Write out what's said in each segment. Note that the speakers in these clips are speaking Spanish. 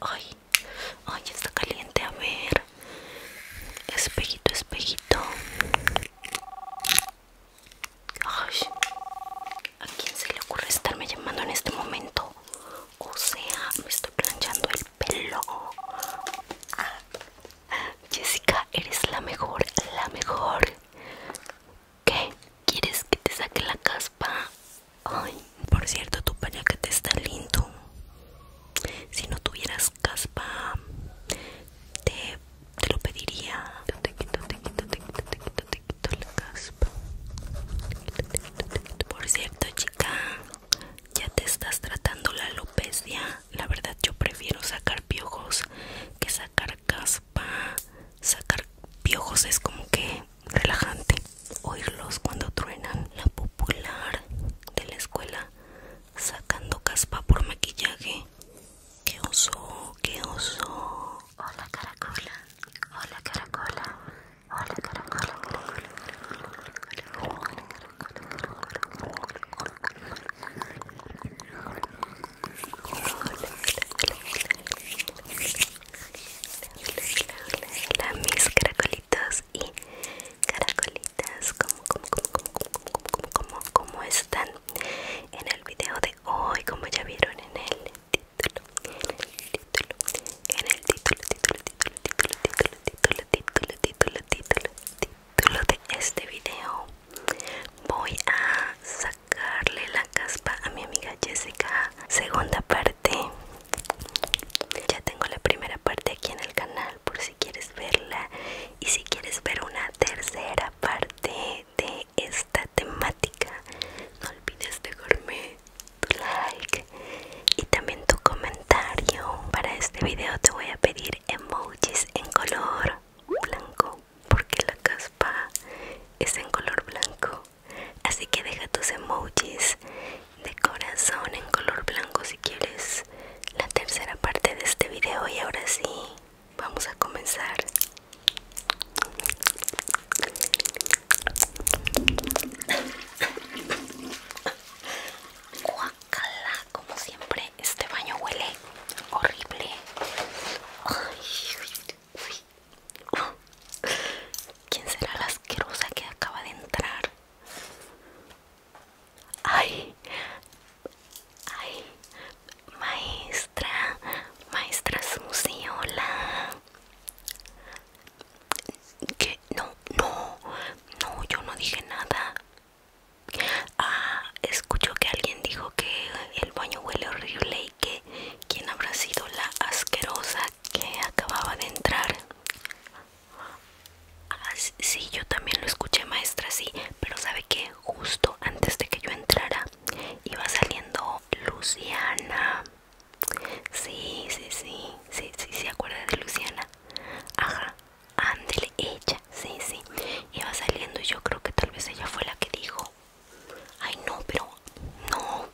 Ay, ay, está caliente. A ver, espejito, espejito. Ay, ¿a quién se le ocurre estarme llamando en este momento? O sea, me estoy planchando el pelo. Ah, ah, Jessica, eres la mejor, la mejor. ¿Qué? ¿Quieres que te saque la, casa? por cierto, tu te está lindo. Si no tuvieras caspa, te, lo pediría. caspa. Por cierto, chica, ya te estás tratando la alopecia. La verdad, yo prefiero sacar piojos que sacar caspa. Sacar piojos es como que relajante oírlos cuando truenan. La popular de la escuela sacando caspa por maquillaje. ¡Qué oso! ¡Qué oso! Hola caracola. Hola caracola. Hola caracola. caracola. Hola mis caracolitos y caracolitas ¿Cómo, cómo están? En el video de hoy, como ya vieron en el título En el título, título, título, título, título, título, título, título, título, título de este video Voy a sacarle la caspa a mi amiga Jessica Segunda parte ya tengo la primera parte aquí en el canal por si quieres verla y si quieres ver una tercera parte de esta temática no olvides dejarme tu like y también tu comentario para este video te voy a pedir emojis en color blanco porque la caspa es en color blanco Así que deja tus emojis de corazón en color blanco si quieres la tercera parte de este video y ahora sí, vamos a comenzar. Guacala, como siempre, este baño huele horrible. uy. ¿Quién será la asquerosa que acaba de entrar? Ay, ay, maestra, maestra Susi, hola. ¿Qué? No, no, no, yo no dije nada. Ah, escucho que alguien dijo que el baño huele horrible y que ¿Quién habrá sido la asquerosa que acababa de entrar? Ah, sí, yo también lo escuché, maestra, sí. Pero sabe que justo antes de que yo entrara iba saliendo Luciana. Sí, sí, sí, sí, sí, se acuerda de Luciana. Ajá, ándele ella, sí, sí. Iba saliendo y yo creo que tal vez ella fue la que dijo. Ay no, pero no.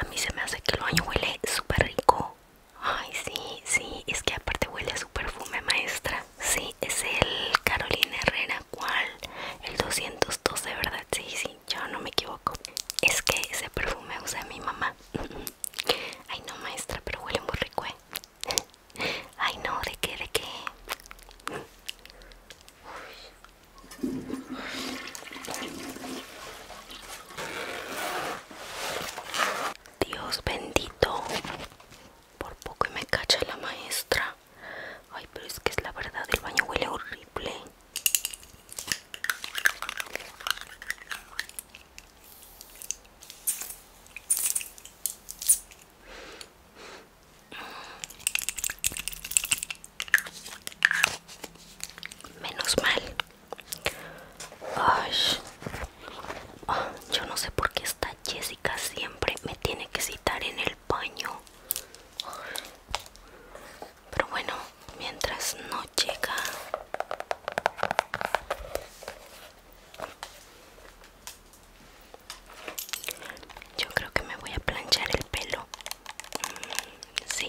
A mí se me hace que el año huele súper rico. Ay, sí, sí, es que aparte huele a su perfume, maestra. Sí, es el Carolina Herrera, ¿cuál? El 212, ¿verdad? Sí, sí, yo no me equivoco. Es que ese perfume usa mi mamá. Ay, no, maestra, pero huele muy rico, ¿eh? Ay, no, ¿de qué, de qué? Uy. Dios bendito. Por poco me cacha la maestra. Ay, pero es que es la verdad, el baño huele horrible. Menos mal. Ah, yo no sé por qué esta Jessica siempre me tiene que citar en el baño. Pero bueno, mientras no llega... Yo creo que me voy a planchar el pelo. Mm, sí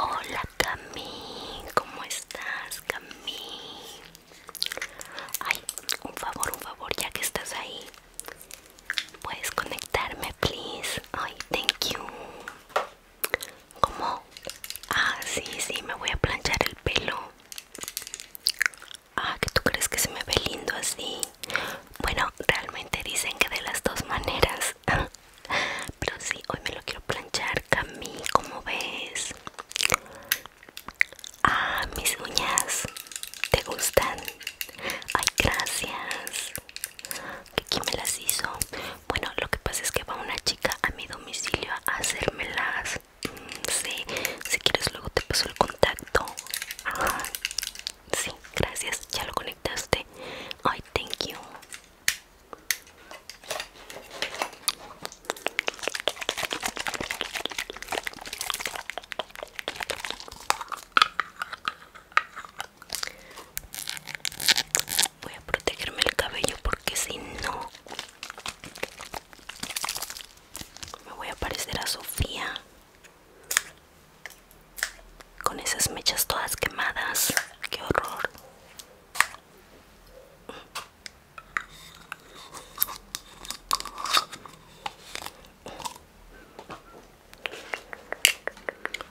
Hola Cami, ¿cómo estás Cami? Ay, un favor, un favor, ya que estás ahí. ¿Puedes conectarme, please? Ay, thank you como ah sí sí me voy a planchar el pelo ah que tú crees que se me ve lindo así bueno realmente dicen que de las dos maneras pero si hoy me lo quiero planchar Cami como ves ah mis uñas te gustan ay gracias quién me las hizo bueno lo que pasa es que va una chica a mi domicilio a hacérmelas mm, sí si quieres luego te paso el contacto Ajá. sí gracias ya lo conectaste ay thank you Voy a protegerme el cabello porque si no me voy a parecer a Sofía con esas mechas todas quemadas. Qué horror.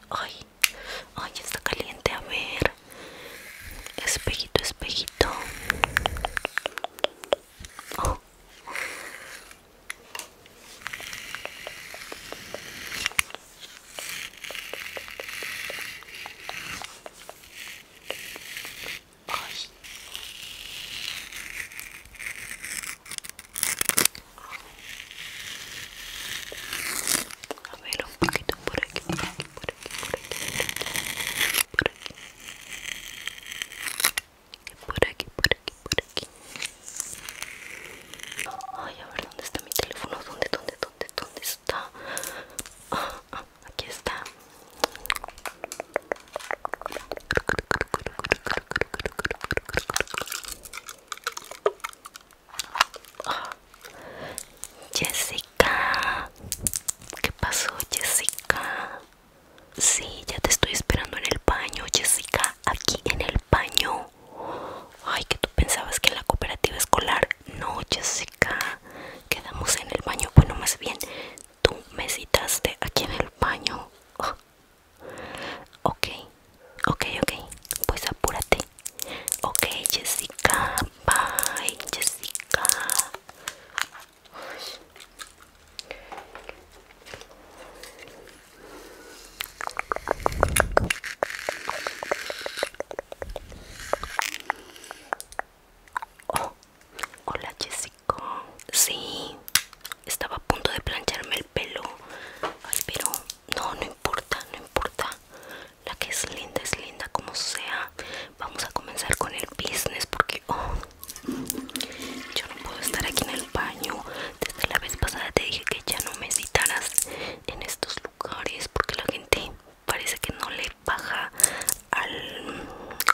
Ay, Ay, está caliente, a ver. Espejito, espejito. Oh a ver un poquito por aquí por aquí por aquí por aquí por aquí por aquí por aquí ay a ver dónde está mi teléfono dónde dónde dónde dónde está aquí está Jessica, ¿qué pasó, Jessica? Sí, ya te estoy esperando en el baño, Jessica, aquí en el baño. Ay, que tú pensabas que en la cooperativa escolar. No, Jessica, quedamos en el baño. Bueno, más bien, tú me citaste aquí en el baño. Ok, ok, ok, pues apúrate. Ok, Jessica. Bye, Jessica. Oh, hola Jessica. Sí, estaba a punto de plancharme el pelo. Ay, pero no, no importa, no importa. La que es linda es linda como sea. Vamos a comenzar con el business porque oh, yo no puedo estar aquí en el baño. Desde la vez pasada te dije que ya no me citaras en estos lugares porque la gente parece que no le baja al,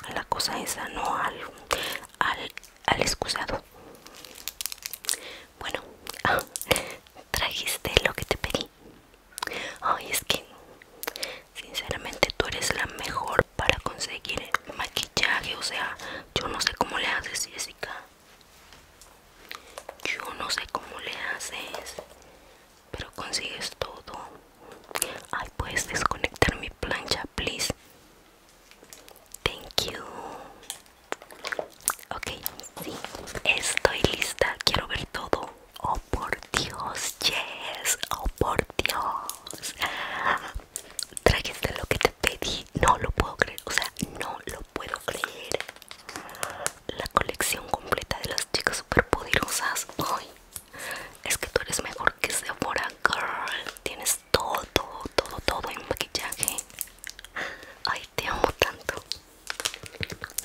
a la cosa esa, no al, al, al excusado. Bueno, trajiste lo que te pedí. Ay, es que sinceramente tú eres la mejor para conseguir maquillaje. O sea, yo no sé cómo le haces, Jessica. Yo no sé cómo le haces, pero consigues todo. Ay, puedes desconectar mi plancha, please. Thank you. Ok, sí, estoy lista. Quiero ver todo. Oh, por Dios, yes. Oh, por Dios. Trajiste lo que te pedí. No lo puedo creer. O sea, no lo puedo creer. La colección completa de las chicas superpoderosas. Ay, es que tú eres mejor que Sephora Girl. Tienes todo, todo, todo en maquillaje. Ay, te amo tanto.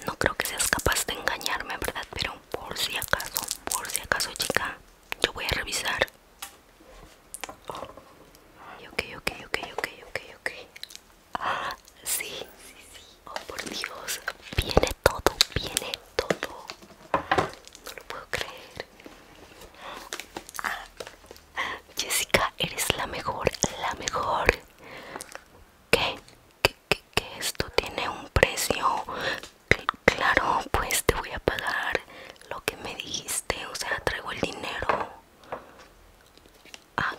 No creo que seas capaz de engañarme, ¿verdad? Pero por si acaso, por si acaso, chica, yo voy a revisar. Ok, ok, ok, ok, ok, ok. Ah, sí, sí, sí. Oh, por Dios. Viene todo, viene todo. No lo puedo creer. Ah, Jessica, eres la mejor, la mejor. ¿Qué? que, esto tiene un precio claro pues te voy a pagar lo que me dijiste o sea traigo el dinero ah,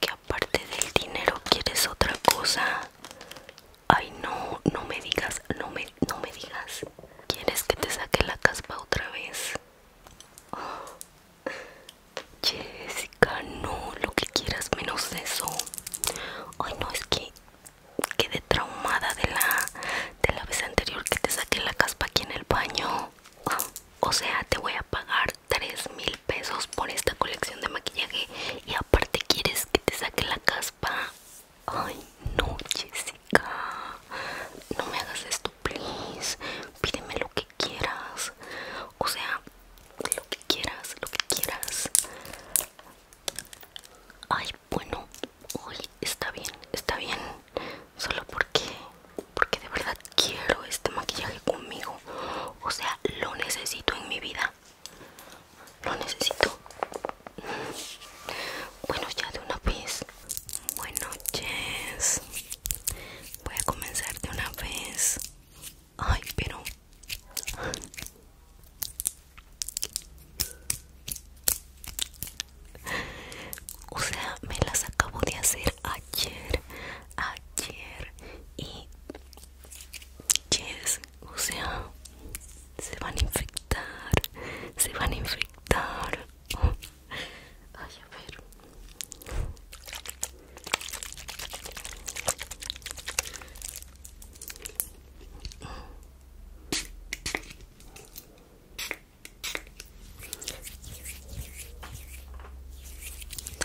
que aparte del dinero quieres otra cosa ay no no me digas no me no me digas quieres que te saque la caspa otra vez Jessica, no, lo que quieras menos eso. Ay, no, es que quedé traumada de la, la vez anterior que te saqué la caspa aquí en el baño. O sea, te voy a pagar tres mil pesos por esta colección de maquillaje y aparte quieres que te saque la caspa. Ay, no, Jessica. No me hagas esto, please. Pídeme lo que quieras o sea, lo que quieras, lo que quieras. Ay, bueno, hoy está bien, está bien. Solo porque, porque de verdad quiero este maquillaje conmigo. O sea, lo necesito en mi vida. Lo necesito. Bueno, ya de una vez. Buenas noches. Voy a comenzar de una vez. Ay, pero... O sea, me las acabo de hacer ayer, ayer y... Yes, o sea, se van a infectar, se van a infectar. Ay, a ver.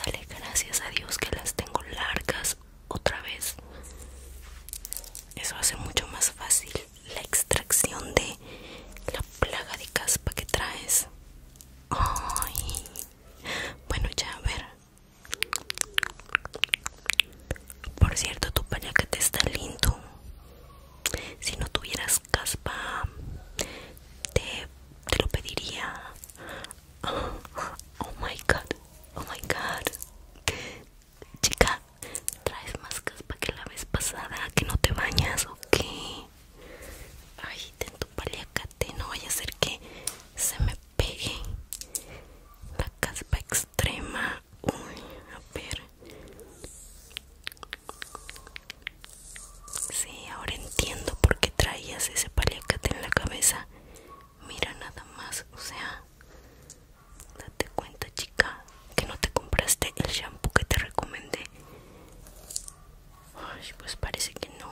Dale gracias a Dios que las tengo largas otra vez. Eso hace mucho más fácil la extracción de la plaga de caspa que traes. Ay, Bueno, ya a ver. Por cierto, tu te está lindo. Si no tuvieras caspa, te, lo pediría. Oh, my god, oh my god. Chica, traes más caspa que la vez pasada, que no te bañas o qué? Ay, ten tu paliacate, no vaya a ser que se me pegue la caspa extrema. Uy, a ver. Sí, ahora entiendo por qué traías ese paliacate en la cabeza. Mira nada más, o sea, date cuenta, chica, que no te compraste el shampoo que te recomendé. Ay, pues parece que no.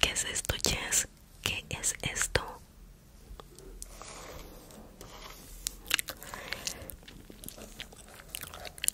¿Qué es esto, Jess? ¿Qué es esto?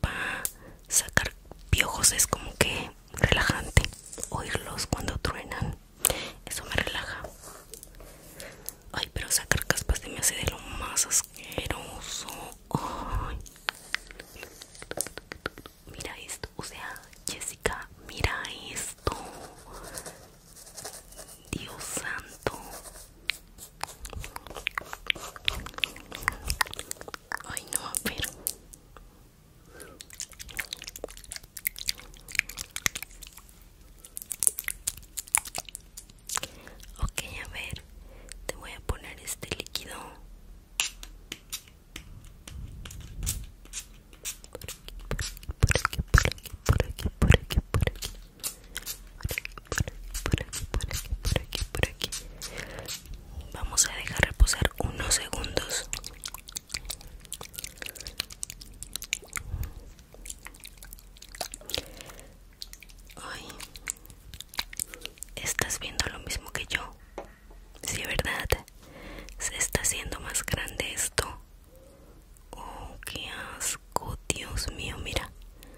para sacar piojos es como que relajante oírlos cuando truenan eso me relaja ay pero sacar caspas de mí hace de lo más asqueroso mira esto o sea Jessica mira esto Dios santo Ay, no, a ver. Ok, a ver, te voy a poner este líquido. por aquí, por aquí, por aquí, por aquí, por aquí, por aquí por aquí, por aquí, por aquí, por aquí. Vamos a dejar reposar unos segundos. Ay, estás viendo lo mismo que yo. Sí, ¿verdad? Se está haciendo más grande esto. Oh, qué asco, Dios mío, mira.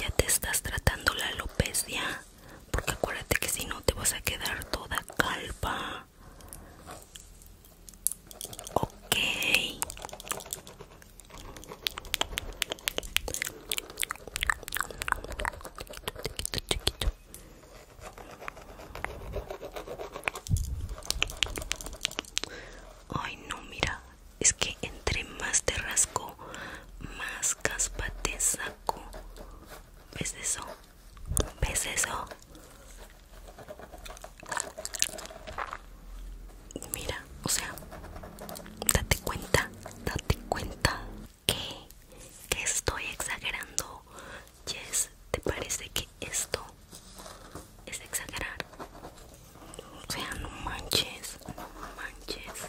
ya te estás tratando la alopecia porque acuérdate que si no te vas a quedar toda calpa. ok chiquito, Ay no, mira, es que entre más te rasco, más caspa te saco. ¿Ves eso? ¿Ves eso? Mira, o sea, date cuenta, date cuenta que, estoy exagerando. Yes, ¿te parece que esto es exagerar? O sea, no manches, no manches.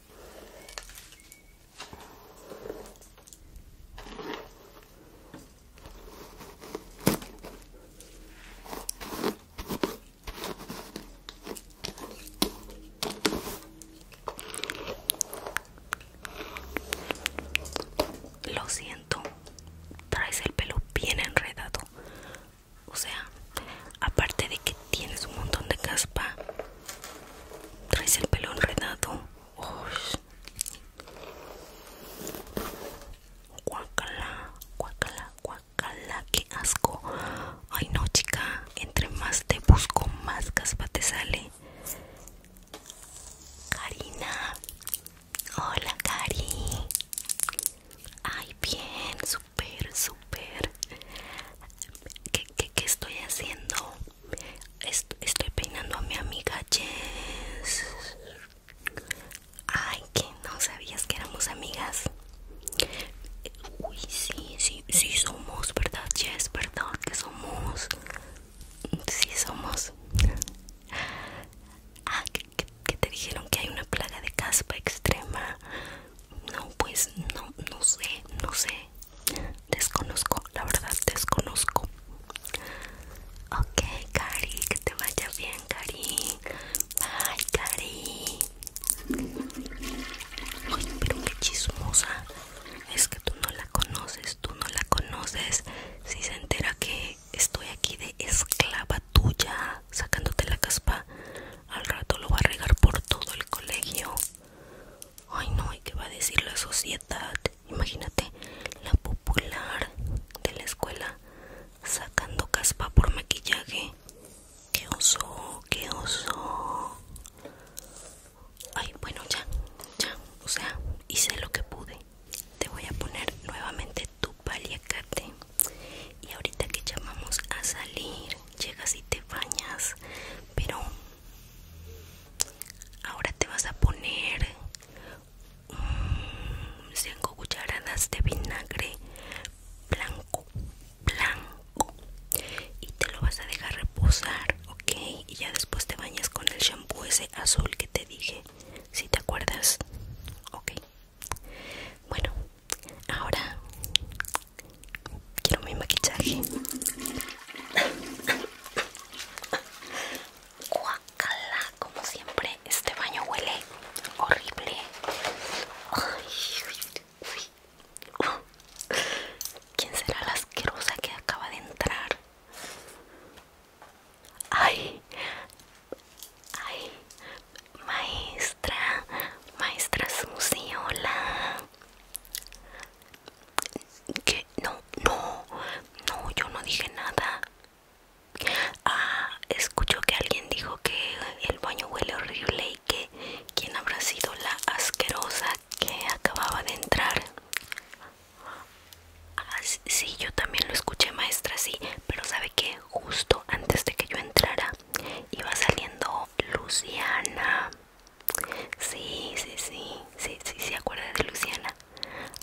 Lo siento, traes el pelo bien enredado. O sea, aparte de que tienes un montón de caspa, traes el pelo enredado. Guacala, guacala, guacala, qué asco. Ay no, chica, entre más te busco, más caspa te sale. Karina. Hola, Cari. Ay, bien, super, super. ¿Qué, estoy haciendo? estoy peinando a mi amiga Jess. Ay, que no sabías que éramos amigas. Uy, sí, sí, sí somos, ¿verdad, Jess? ¿Verdad que somos? Sí somos. Ah, que te dijeron que hay una plaga de caspa extrema. No, pues no, no sé, no sé. Desconozco, la verdad, desconozco. Ok, Cari, que te vaya bien, Cari. Bye, Cari. pero qué chismosa. Es que tú no la conoces, tú no la conoces. Si se entera que estoy aquí de esclava tuya, sacándote la caspa, al rato lo va a regar por todo el colegio. Ay no, ¿y qué va a decir la sociedad? Imagínate la popular de la escuela sacando caspa por maquillaje. ¡Qué oso! ¡Qué oso! Ay, bueno, ya, ya, o sea, hice lo que pude. Te voy a poner nuevamente tu paliacate. Y ahorita que llamamos a salir, llegas y te bañas. Pero Ahora te vas a poner 5 mm, cucharadas de vinagre blanco, blanco. Y te lo vas a dejar reposar, ¿ok? Y ya después te bañas con el shampoo ese azul que te dije. Si te acuerdas, ok. Bueno, ahora quiero mi maquillaje. Guacala, como siempre, este baño huele horrible. ¿Quién será la asquerosa que acaba de entrar? Ay, ay, maestra, maestra suciola que no, no, no, yo no dije nada. Ah, escucho que alguien dijo que el baño huele horrible y que quien habrá sido la asquerosa que acababa de entrar. Ah, sí, yo también lo escuché, maestra, sí, pero sabe que justo antes de que yo entrara iba saliendo Luciana. Sí, sí, sí, sí, sí, se acuerda de Luciana.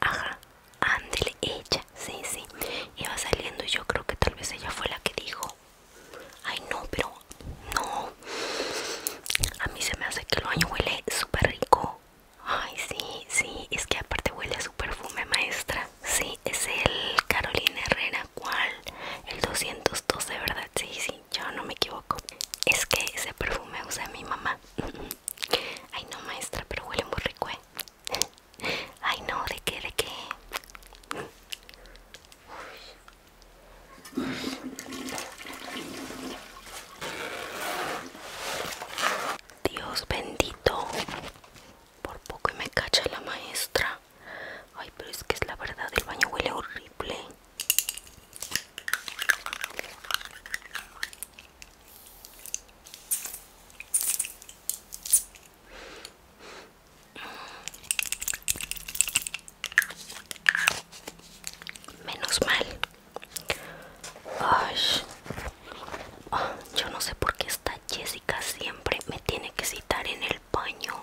Ajá, ándele, ella, sí, sí. Iba saliendo y yo creo que tal vez ella fue la que dijo. Ay, no, pero no. A mí se me hace que el baño huele súper rico. Ay, sí, sí, es que aparte huele a su perfume, maestra. Sí, es el Carolina Herrera, ¿cuál? El 212, ¿verdad? Sí, sí, yo no me equivoco. Es que ese perfume usa mi mamá. Ay no maestra, pero huele muy rico, ¿eh? Ay no, de qué, de qué. Dios bendito. Por poco me cacha la maestra. Ay, pero es que es la verdad, el baño huele horrible. Menos mal. Ah, yo no sé por qué esta Jessica siempre me tiene que citar en el baño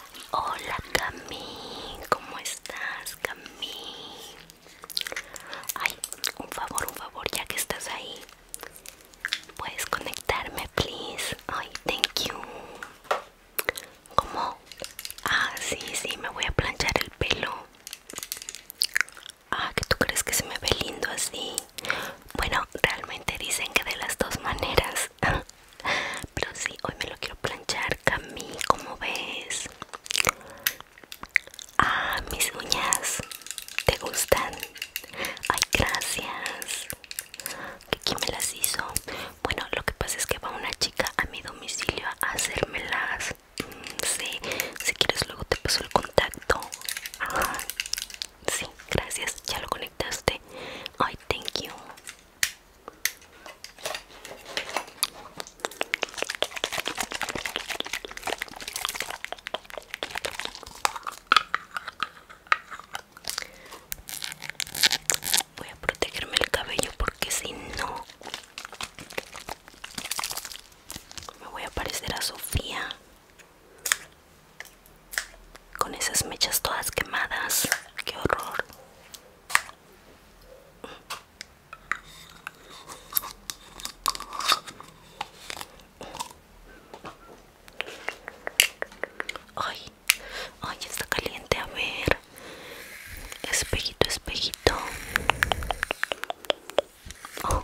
Hola Cami, ¿cómo estás Cami? Ay, un favor, un favor, ya que estás ahí. ¿Puedes conectarme, please? Ay, thank you. ¿Cómo? Ah, sí, sí, me voy a planchar el pelo. Ah, que tú crees que se me ve lindo así. Bueno, realmente dicen que de las dos maneras. pero sí hoy me lo quiero planchar Cami como ves ah mis uñas te gustan ay gracias que quién me las hizo bueno lo que pasa es que va una chica a mi domicilio a hacérmelas mm, sí si quieres luego te paso el contacto sí gracias ya lo conectaste ay thank you Voy a protegerme el cabello porque si no me voy a parecer a Sofía con esas mechas todas quemadas. Qué horror. Ay, ay, está caliente, a ver. Espejito, espejito. Oh.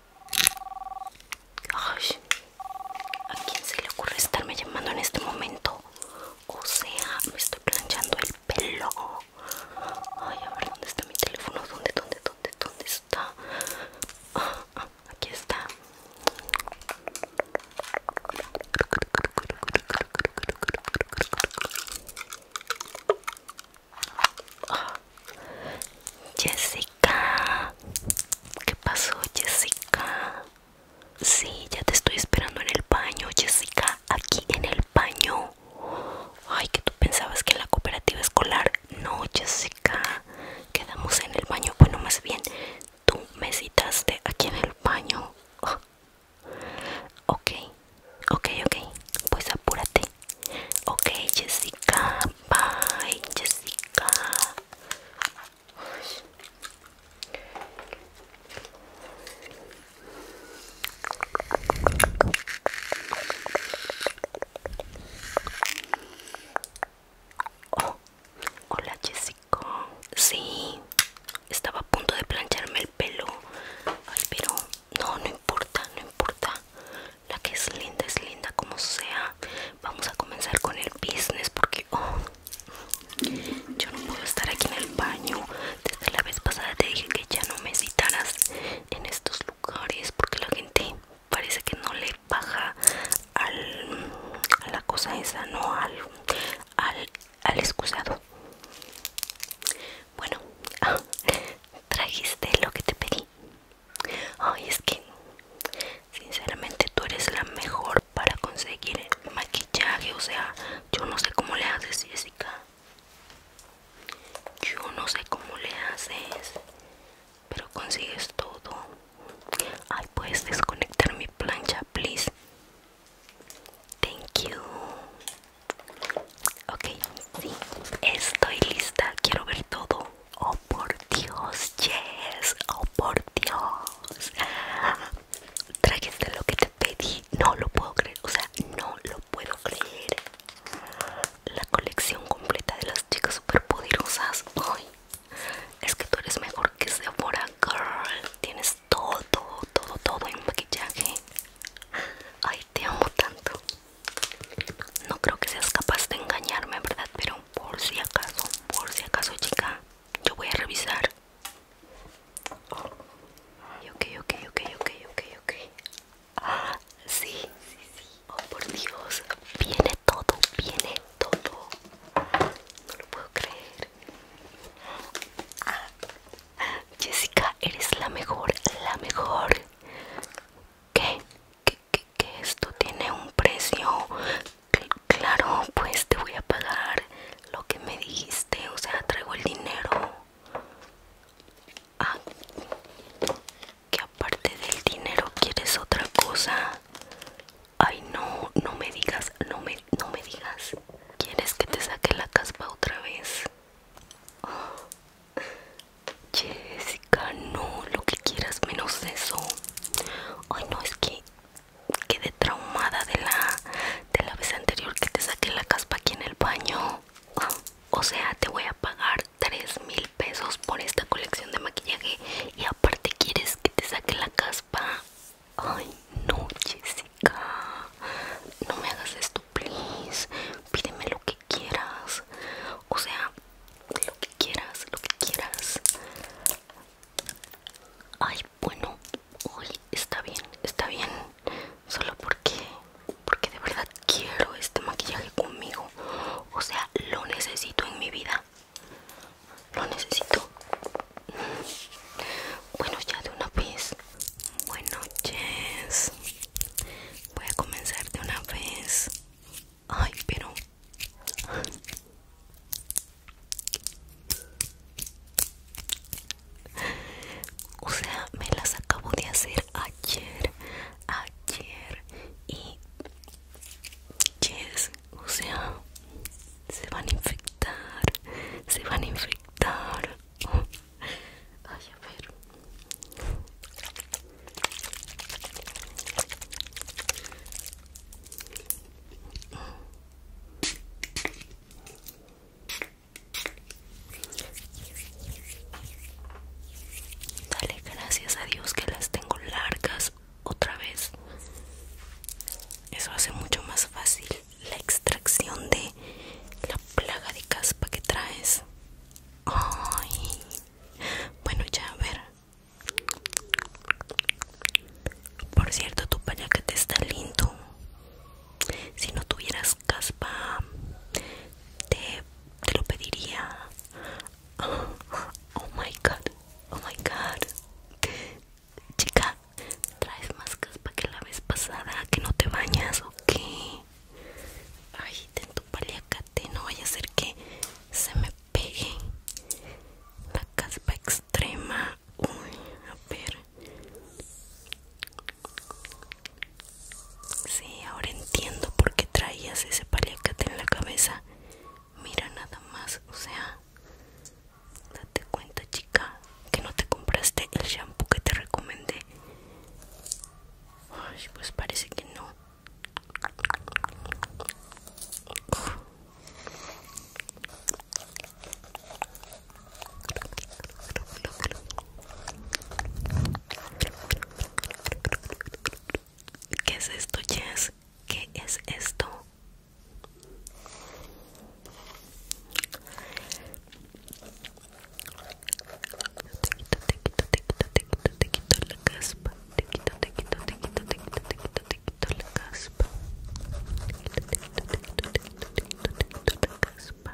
Ay, ¿a quién se le ocurre estarme llamando en este momento? O sea, me estoy planchando el pelo. Ay, a ver, ¿dónde está mi teléfono? ¿Dónde, dónde, dónde, dónde está? aquí está. Jessica Jessica. ¿Qué pasó, Jessica? Sí, ya te estoy esperando en el baño, Jessica. Aquí en el baño. Ay, que tú pensabas que la cooperativa escolar. No, Jessica. Quedamos en el baño. Bueno, más bien, tú me citaste aquí en el baño. Ok, ok, ok. Pues apúrate. Ok, Jessica, Bye, Jessica. Oh, hola Jessica. Sí, estaba a punto de plancharme el pelo. Ay, pero no, no importa, no importa. La que es linda es linda como sea. Vamos a comenzar con el business porque oh, yo no puedo estar aquí en el baño. Desde la vez pasada te dije que ya no me citaras en estos lugares porque la gente parece que no le baja al, a la cosa esa, no al, al, al excusado. Bueno, trajiste lo que te pedí. Ay, es que sinceramente tú eres la mejor para conseguir maquillaje. O sea, yo no sé cómo le haces, Jessica. Yo no sé cómo le haces, pero consigues todo. Ay, puedes desconectar mi plancha, please. Thank you. Ok, sí, estoy lista. Quiero ver todo. Oh por Dios, yes. Oh por Dios. Trajiste lo que te pedí. No lo puedo creer. O sea, no lo puedo creer. La colección completa de las chicas superpoderosas. Ay, es que tú eres mejor que Sephora Girl. Tienes todo, todo, todo en maquillaje. Ay, te amo tanto. No creo que seas capaz de engañarme, ¿verdad? Pero por si acaso por si acaso chica yo voy a revisar ok ok ok ok ok ah, sí sí sí oh por dios viene todo viene todo no lo puedo creer ah, Jessica eres la mejor la mejor ¿Qué? ¿Qué? que, esto tiene un precio claro pues te voy a pagar lo que me dijiste o sea traigo el dinero ah, que aparte del dinero quieres otra cosa ay no no me digas no me no me digas quieres que te saque la caspa otra vez ah, Jessica, no, lo que quieras menos eso. Ay no, es que quedé traumada de la, de la vez anterior que te saqué la caspa aquí en el baño. O sea, te voy a pagar 3 mil pesos por esta colección de maquillaje y aparte quieres que te saque la caspa. Ay no, Jessica. No me hagas esto, please. Pídeme lo que quieras. O sea, lo que quieras, lo que quieras. Ay, bueno, hoy está bien, está bien. Solo porque, porque de verdad quiero este maquillaje conmigo. O sea, lo necesito en mi vida. Lo necesito. Bueno, ya de una vez. Buenas noches. Voy a comenzar de una vez. Ay, pero... O sea, me las acabo de hacer ayer, ayer y... Yes, o sea, se van a infectar, se van a infectar. Ay, a Dale gracias a Dios que las tengo largas otra vez. Eso hace mucho más fácil la extracción de la plaga de caspa que traes. Ay. Bueno, ya a ver. Por cierto, tu pañaquete está lindo. Si no tuvieras caspa, te, lo pediría. Oh, my god, oh my god. Chica, traes más caspa que la vez pasada, que no te bañas o qué. Ay, ten tu paliacate, no vaya a ser que se me pegué la caspa extrema uy a ver si ahora entiendo por qué traías ese paliacate en la cabeza mira nada más o sea date cuenta chica que no te compraste el shampoo que te recomendé pues parece que no ¿Qué es esto, Jess? ¿Qué es esto? Te quito, te quito, te quito, te quito, la caspa te quito, te quito, te quito, te quito, te quito, la caspa. caspa.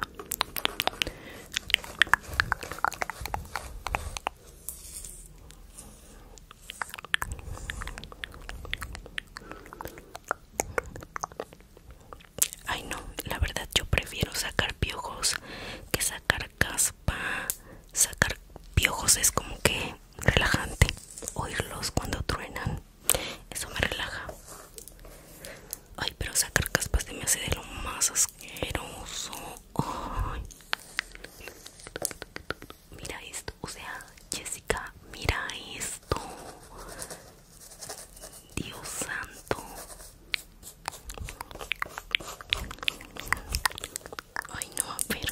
Ay no, la verdad yo prefiero sacar piojos que sacar caspa. Sacar piojos es como que relajante oírlos cuando truenan eso me relaja ay pero sacar caspas de me hace de lo más asqueroso mira esto o sea Jessica mira esto Dios santo Ay no, a ver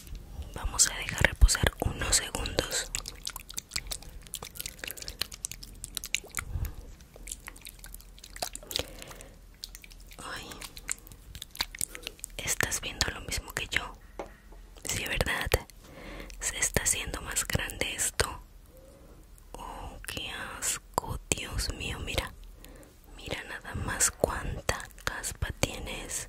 Vamos a dejar reposar unos segundos. Ay, estás viendo lo mismo que yo. Sí, ¿verdad? Se está haciendo más grande esto. Oh, qué asco, Dios mío, mira. Mira nada más cuánta caspa tienes.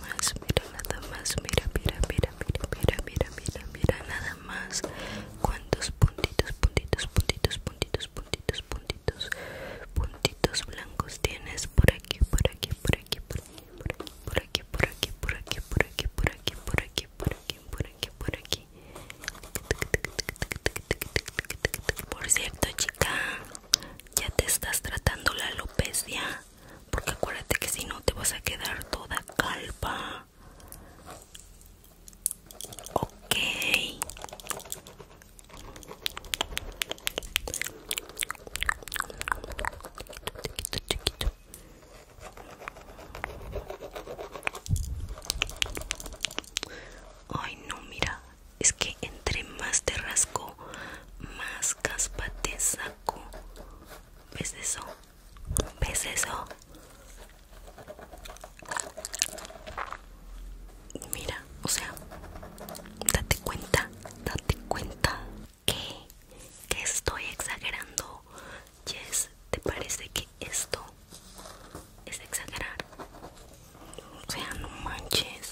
más, mira nada más, mira, mira, mira, mira, mira, mira, mira, nada más. Cuántos puntitos, puntitos, puntitos, puntitos, puntitos, puntitos, puntitos blancos tienes por aquí, por aquí, por aquí, por aquí, por aquí, por aquí, por aquí, por aquí, por aquí, por aquí, por aquí, por aquí, por aquí. Por cierto, chica, ya te estás tratando la alopecia porque acuérdate que si no te vas a quedar toda calpa ok ay no mira es que entre más te rasco más caspa te saco. ¿Ves eso? ¿Ves eso? Mira, o sea, date cuenta, date cuenta que, que estoy exagerando. Jess, ¿te parece que esto es exagerar? O sea, no manches.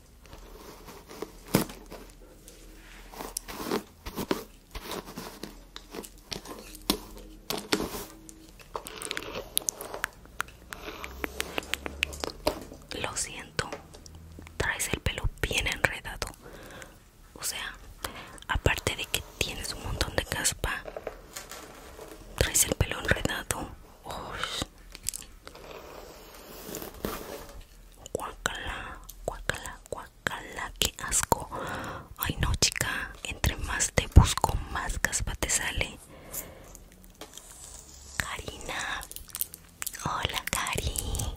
Lo siento, traes el pelo bien enredado. O sea, aparte de que tienes un montón de caspa, traes el pelo enredado. Guacala, guacala, guacala, qué asco. Ay no, chica, entre más te busco, más caspa te sale. Karina, hola, Cari.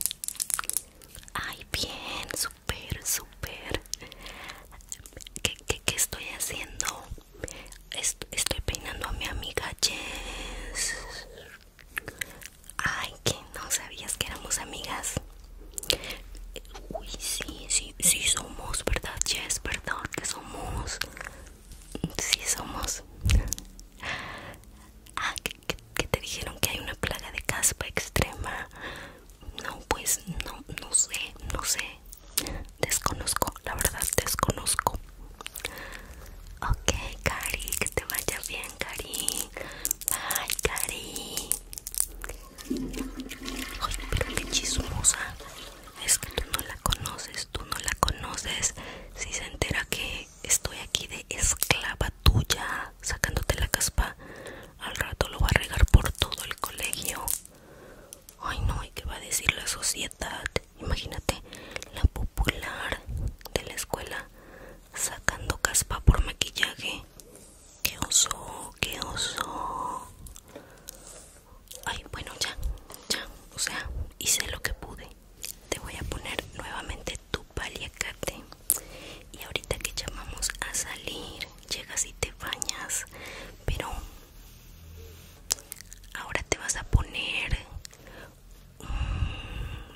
Ay, bien, super super. qué, ¿Qué estoy haciendo? estoy peinando a mi amiga Jess. Ay, que no sabías que éramos amigas. Uy, sí, sí, sí somos, ¿verdad, Jess? perdón que somos? Sí somos. Ah, que te dijeron que hay una plaga de caspa extrema. No, pues no, no sé, no sé. Desconozco la verdad desconozco. Ok, Cari, que te vaya bien, Cari. Bye, Cari. Ay, pero qué chismosa. Es que tú no la conoces, tú no la conoces. Si se entera que estoy aquí de esclava tuya, sacándote la caspa, al rato lo va a regar por todo el colegio. Ay, no, ¿y qué va a decir la sociedad? Imagínate la popular de la escuela sacando caspa por maquillaje. ¡Qué oso! ¡Qué oso! Ay, bueno, ya, ya. O sea, hice lo que pude. Te voy a poner nuevamente tu paliacate. Y ahorita que llamamos a salir, llegas y te bañas. Pero ahora te vas a poner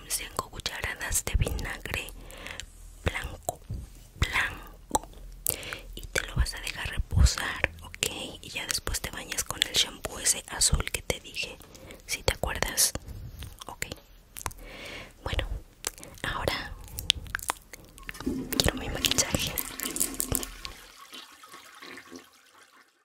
5 cucharadas de vinagre blanco blanco y te lo vas a dejar reposar ok y ya después te bañas con el shampoo ese azul que te dije si te acuerdas ok bueno ahora quiero mi maquillaje